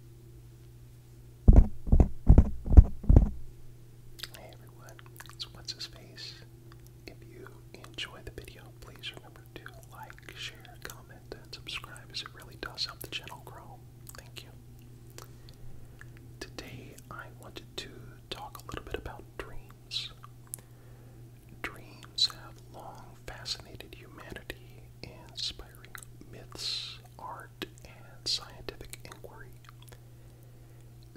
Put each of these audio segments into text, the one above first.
Hey everyone, it's What's His Face. If you enjoy the video, please remember to like, share, comment, and subscribe as it really does help the channel grow. Thank you. Today I wanted to talk a little bit about dreams. Dreams have long fascinated humanity, inspiring myths art and scientific inquiry,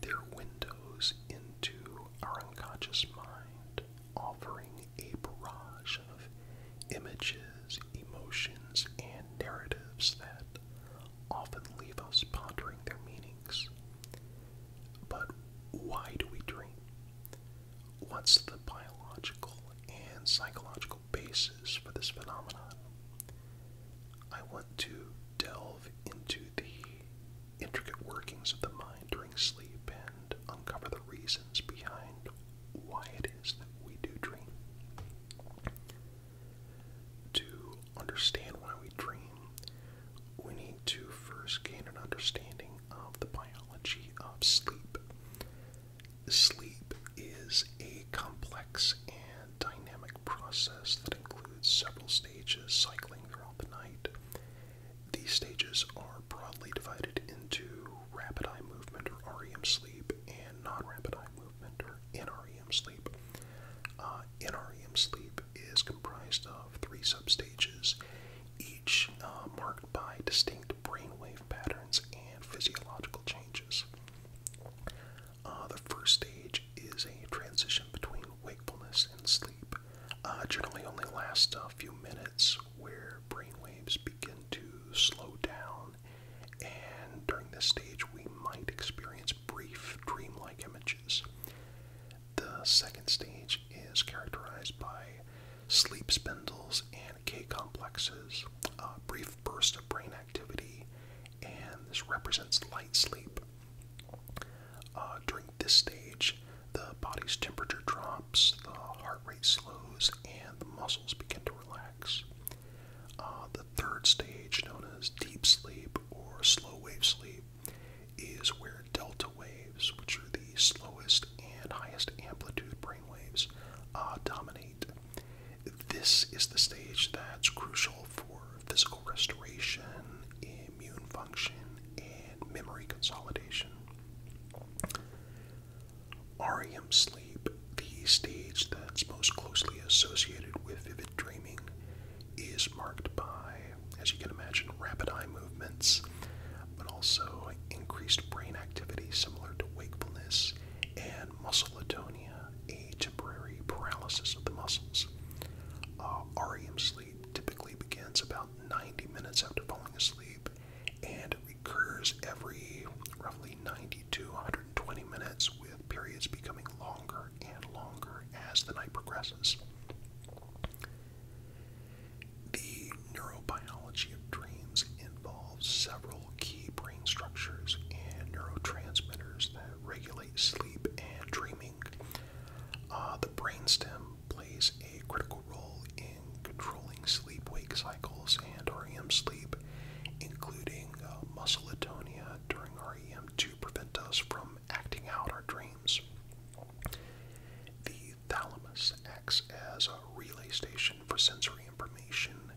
their windows into our unconscious mind, offering a barrage of images, emotions, and narratives that often leave us pondering their meanings. But why do we dream? What's the biological and psychological? basis for this phenomenon, I want to delve into the intricate workings of the mind during sleep and uncover the reasons behind why it is that we do dream. To understand why we dream, we need to first gain an understanding of the biology of sleep. Sleep is a complex and dynamic process that includes several stages cycling throughout the night. These stages are broadly divided into rapid eye movement or REM sleep and non rapid eye movement or NREM sleep. Uh, NREM sleep is comprised of three sub sub-stages, each uh, marked by distinct brainwave patterns and physiological changes. Uh, the first stage is a transition between wakefulness and sleep. Uh, generally, only lasts a few minutes, where brainwaves begin to slow down, and during this stage, we might experience brief dreamlike images. The second stage is characterized by sleep spindles and K complexes a brief burst of brain activity, and this represents light sleep. Uh, during this stage, the body's temperature drops, the heart rate slows, and the muscles begin to relax. Uh, the third stage, known as deep sleep or slow wave sleep, is where delta waves, which are the slowest and highest amplitude brain waves, uh, dominate. This is the stage that's crucial for physical restoration, immune function, and memory consolidation. REM sleep, the stage that's most closely associated with vivid dreaming, is marked by, as you can imagine, rapid eye movements, but also increased brain activity similar to wakefulness and muscle atonia a temporary paralysis of the muscles. Uh, REM sleep typically begins about 90 minutes after falling asleep and recurs every roughly 90 to 120 minutes, with periods becoming longer and longer as the night progresses. The neurobiology of dreams involves several key brain structures and neurotransmitters that regulate sleep and dreaming. Uh, the brainstem plays a critical role in controlling sleep wake cycles and REM sleep, including uh, muscle atonia during REM to prevent us from acting out our dreams. The thalamus acts as a relay station for sensory information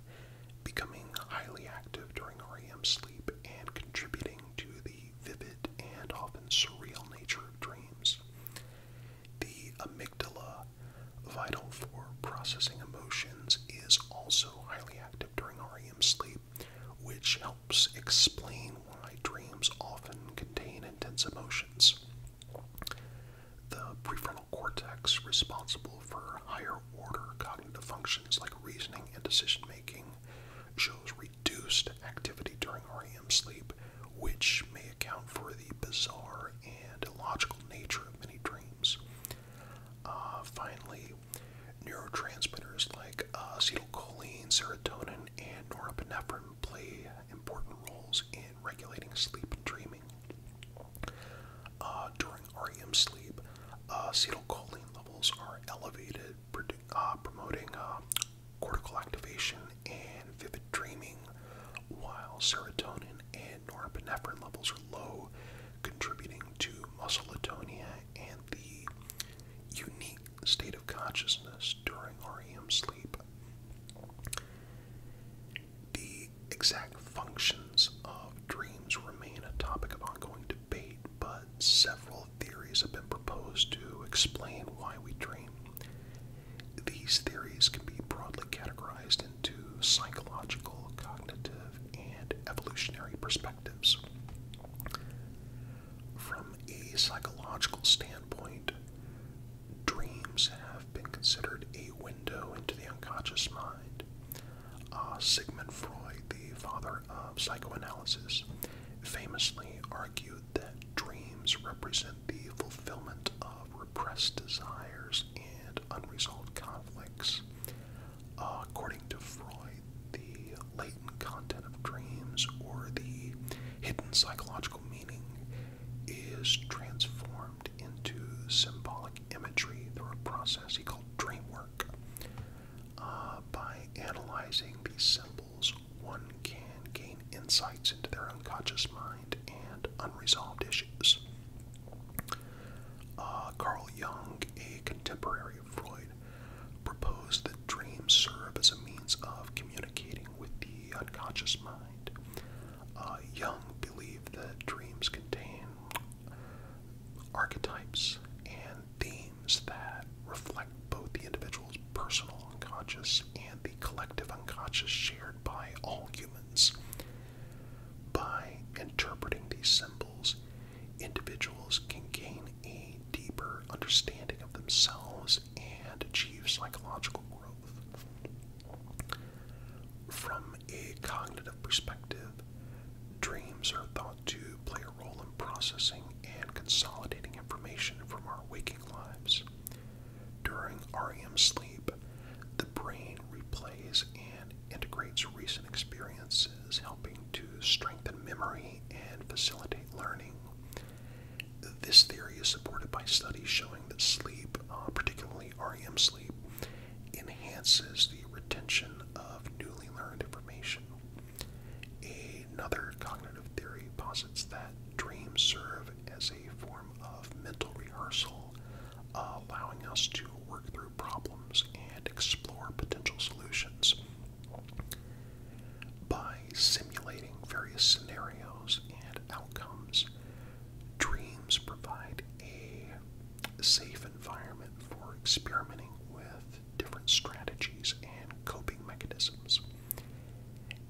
becoming highly active during REM sleep and contributing to the vivid and often surreal nature of dreams. The amygdala, vital for processing emotions, is also highly active during REM sleep, which helps explain why dreams often contain intense emotions. The prefrontal prefrontal cortex, responsible for higher order cognitive functions like reasoning and decision making, shows reduced activity during REM sleep, which may account for the bizarre and illogical nature of many dreams. Uh, finally, neurotransmitters like uh, acetylcholine, serotonin, and norepinephrine play important roles in regulating sleep and dreaming. Uh, during REM sleep, uh, acetylcholine levels are elevated, uh, promoting cortical activation and vivid dreaming, while serotonin and norepinephrine levels are low, contributing to muscle atonia and the unique state of consciousness during REM sleep exact functions of dreams remain a topic of ongoing debate, but several theories have been proposed to explain why we dream. These theories can be broadly categorized into psychological, cognitive, and evolutionary perspectives. From a psychological standpoint, dreams have been considered a window into the unconscious mind. Uh, Sigmund Freud, the father of psychoanalysis, famously argued that dreams represent the fulfillment of repressed desires and unresolved conflicts. according to Freud, the latent content of dreams, or the hidden psychological meaning, is transformed into symbolic imagery through a process he called dream work. Uh, by analyzing these symbols one can gain insights into their unconscious mind and unresolved issues uh, carl jung a contemporary of freud proposed that dreams serve as a means of communicating with the unconscious mind uh, jung believed that dreams contain archetypes and themes that reflect both the individual's personal unconscious and the collective unconscious shared by all humans. By interpreting these symbols, individuals can gain a deeper understanding of themselves and achieve psychological growth. From a cognitive perspective, Dreams are thought to play a role in processing and consolidating information from our waking lives. During REM sleep, the brain replays and integrates recent experiences, helping to strengthen memory and facilitate learning. This theory is supported by studies showing that sleep, uh, particularly REM sleep, enhances the retention of newly learned information. Another cognitive theory posits that dreams serve as a form of mental rehearsal, allowing us to work through problems and explore potential solutions. By simulating various scenarios and outcomes, dreams provide a safe environment for experimenting with different strategies and coping mechanisms.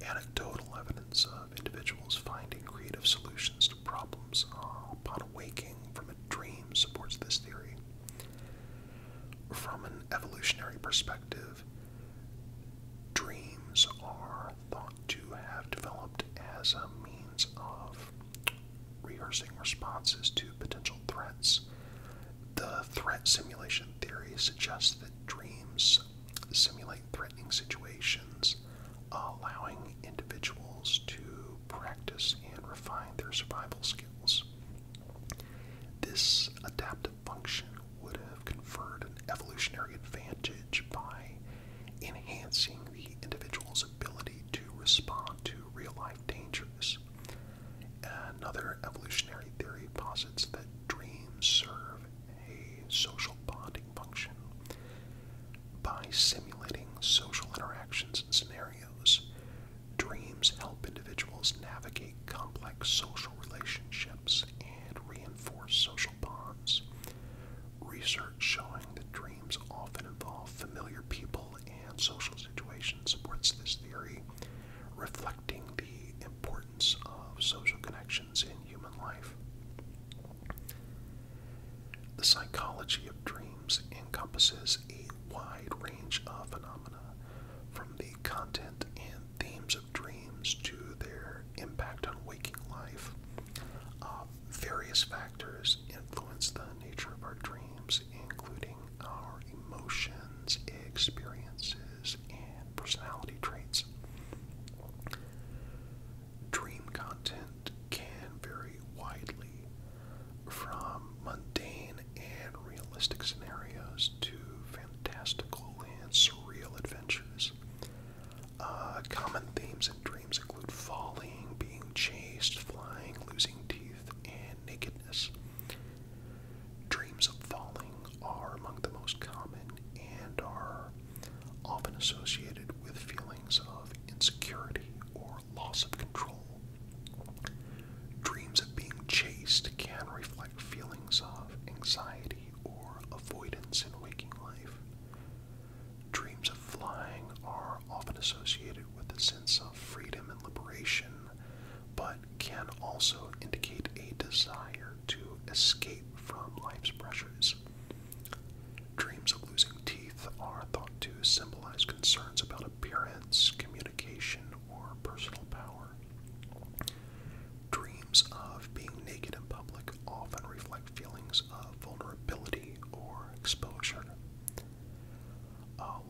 Anecdotal evidence of individuals finding creative solutions to problems upon awaking from a dream supports this theory. From an evolutionary perspective, dreams are thought to have developed as a means of rehearsing responses to potential threats. The threat simulation theory suggests that dreams simulate threatening situations, allowing individuals to practice and refine their survival skills. This adaptive function would have conferred an evolutionary advantage by enhancing the individual's ability to respond to real life dangers. Another evolutionary theory posits that dreams serve a social bonding function by simulating social interactions and scenarios. Dreams help individuals navigate complex social relationships and reinforce social bonds. Research showing that dreams often involve familiar people and social situation supports this theory, reflecting the importance of social connections in human life. The psychology of dreams encompasses a wide range of phenomena, from the content and themes of dreams to their impact on waking life, uh, various factors influence the nature of our dreams, including our emotions, experiences, and personality traits. Dream content can vary widely from mundane and realistic scenarios to fantastical and surreal adventures. Uh, common themes in dreams include falling, being chased, flying, losing teeth, and nakedness. Dreams of falling are among the most common and are often associated with feelings of insecurity or loss of control. Dreams of being chased can reflect feelings of anxiety or avoidance in waking life. Dreams of flying are often associated with a sense of freedom and liberation, but can also indicate a desire to escape from life's pressures. Dreams of losing teeth are thought to symbolize concerns about appearance, communication, or personal power. Dreams of being naked in public often reflect feelings of vulnerability or exposure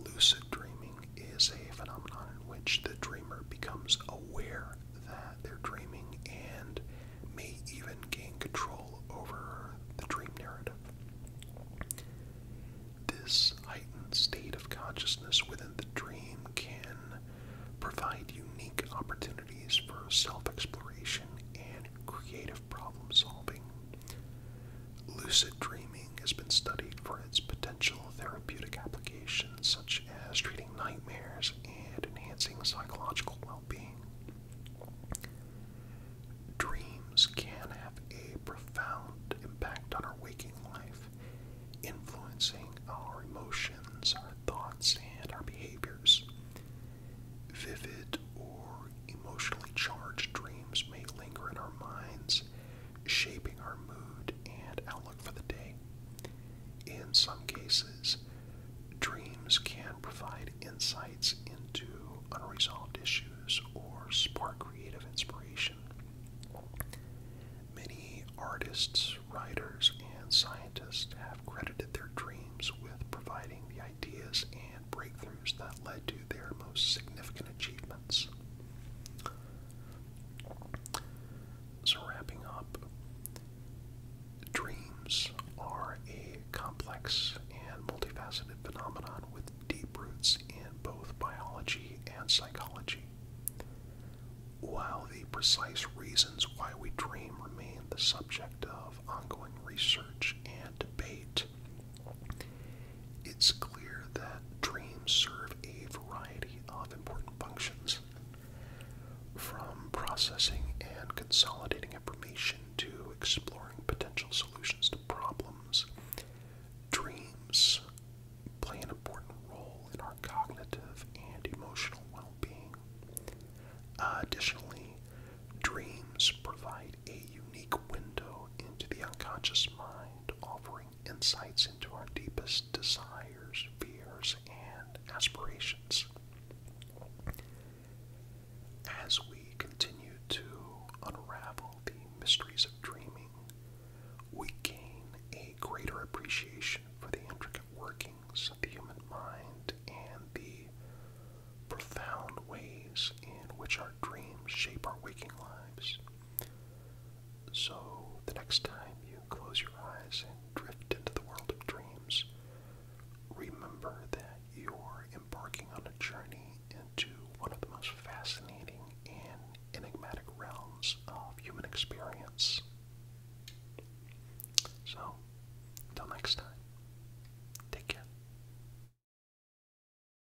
lucid dreaming is a phenomenon in which the dreamer becomes aware that they're dreaming and may even gain control over the dream narrative. This heightened state of consciousness within the dream can provide unique opportunities for self exploration and creative problem solving Lucid dreaming has been studied for its potential therapeutic applications, such as treating nightmares and enhancing psychological well being. Dreams can have a profound impact on our waking life, influencing our emotions, our thoughts, and our behaviors. Vivid or emotionally charged dreams may linger in our minds, shaping our mood and outlook for the day. In some cases, dreams can provide insights into unresolved issues or spark creative inspiration. Many artists, writers, and scientists have credited their dreams with providing the ideas and breakthroughs that led to their most significant achievements. So, wrapping up, dreams are a complex and multifaceted phenomenon with deep roots in both biology and psychology. While the precise reasons why we dream remain the subject of ongoing research and debate, it's clear that dreams serve a variety of important functions, from processing and consolidating information to exploring potential solutions to problems. Dreams play an important role in our cognitive and emotional well being. additionally, dreams provide a unique window into the unconscious mind, offering insights into our deepest desires, fears, and aspirations. As we continue to unravel the mysteries of dreaming, we gain a greater appreciation for the intricate workings of the human mind and the profound ways in which our dreams shape our waking lives. So, the next time you close your eyes and drift into the world of dreams, remember that you're embarking on a journey into one of the most fascinating and enigmatic realms of human experience. So, until next time, take care.